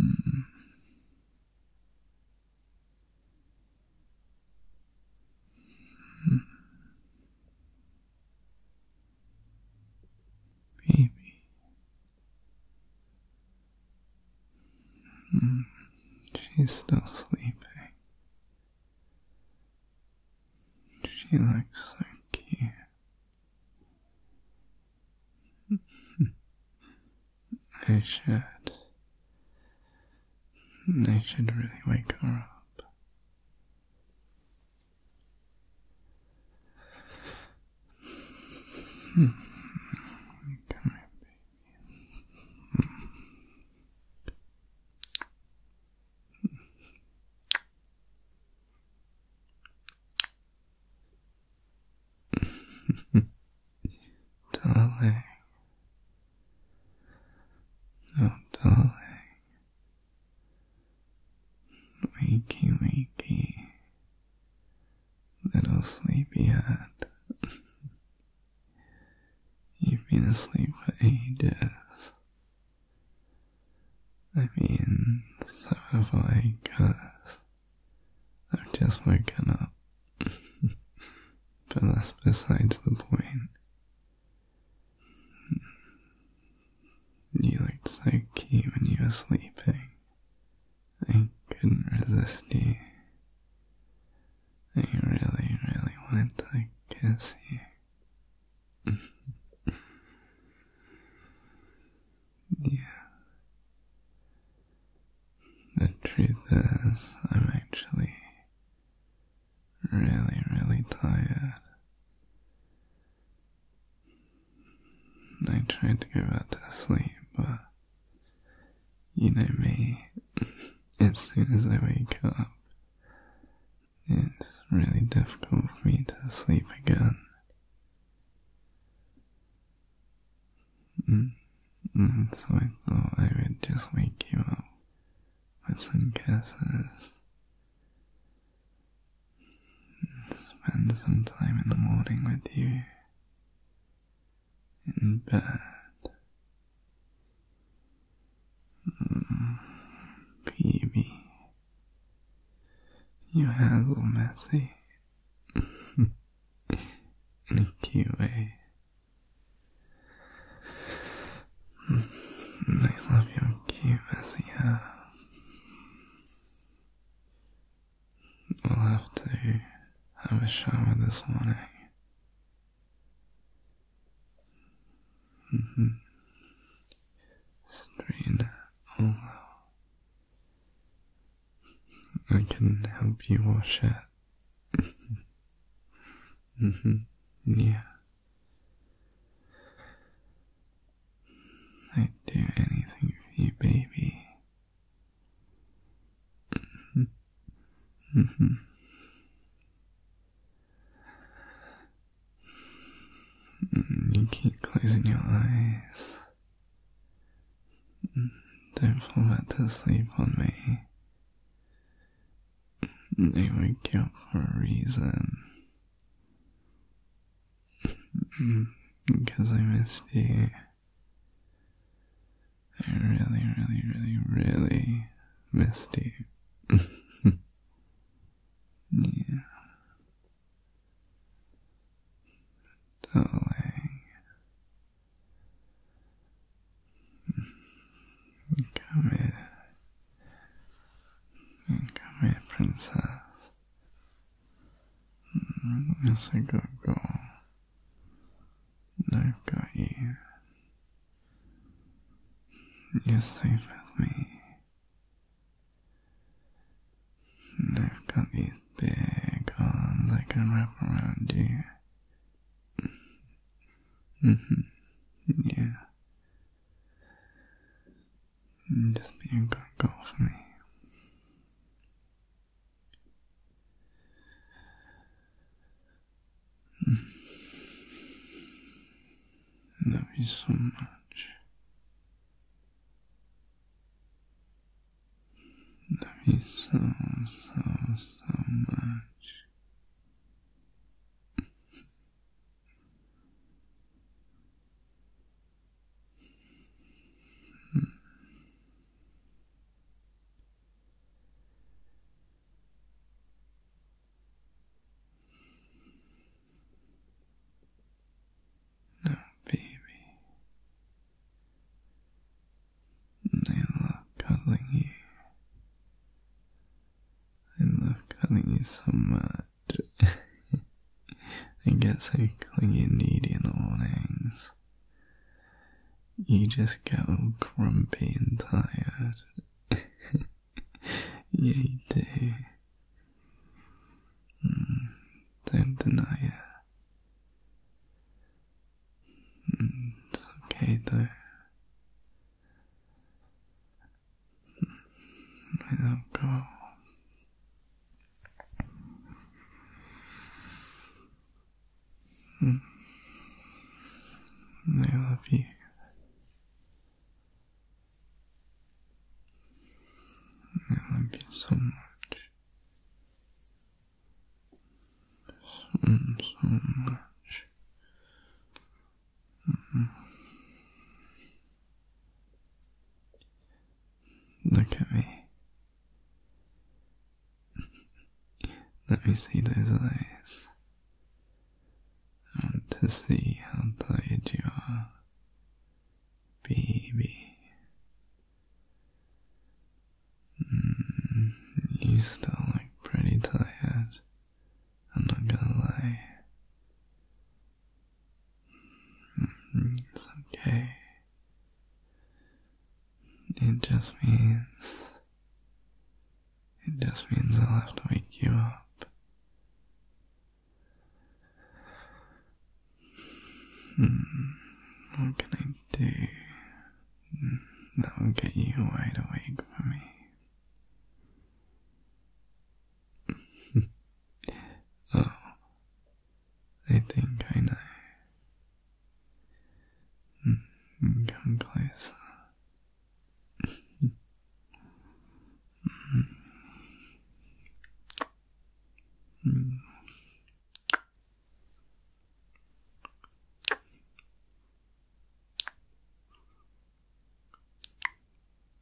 Mm. Mm. Baby. Mm. She's still sleeping. She looks so cute. I should. They should really wake her up. Come here, baby darling, oh darling, wakey, wakey, little sleepyhead. You've been asleep for ages. I mean, so have I, cuz I've just woken up. but that's besides the point. You looked so cute when you were sleeping. I couldn't resist you. I really, really wanted to kiss you. yeah. The truth is, I'm actually really, really tired. I tried to go back to sleep, but you know me. as soon as I wake up, it's really difficult for me to sleep again. Mm, so I thought I would just wake you up with some kisses. Spend some time in the morning with you in bed. Mm, Peavy, you hassle messy in a cute way. I love your cute messy We'll have to have a shower this morning. Strain mm-hmm. all I can help you wash it. hmm Yeah. I'd do anything for you, baby. Mm-hmm. You keep closing your eyes. Mm-hmm. Don't fall back to sleep on me. Mm-hmm. They wake you up for a reason. because I missed you. I really, really, really, really missed you. yeah. Darling. Come here. Come here, princess. Yes, I got go. I've got you. You're safe with me. I've got these big arms I can wrap around you. mm-hmm. Yeah. Just be a good girl for me. Love you so much. Love you so, so, so much. Hmm. Now, baby, I love cuddling you. I love cuddling you so much but I get so clingy and needy in the mornings. You just go grumpy and tired. yeah, you do. Hmm, don't deny it. Hmm, it's okay though. Let them go. They love you. I love you so much. So, so much. Mm-hmm. Look at me. Let me see those eyes. I to see how tired you are, baby. Mm, you still look pretty tired. I'm not gonna lie. Mm, it's okay. It just means. It just means I'll have to wake you up. Hmm, what can I do hmm, that get you wide awake for me? oh, I think I know. Hmm, come closer.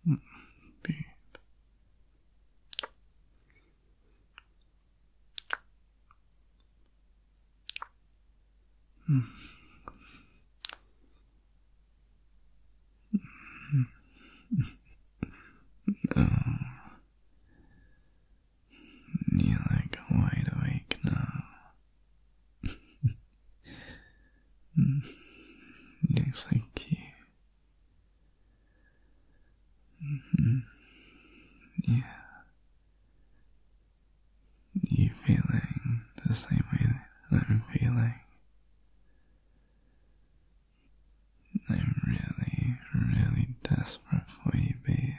Mm, babe. Mm. No. Mm. Uh. You're like wide awake now. Looks like you. Mm-hmm. Yeah. You feeling the same way that I'm feeling? I'm really, really desperate for you, babe.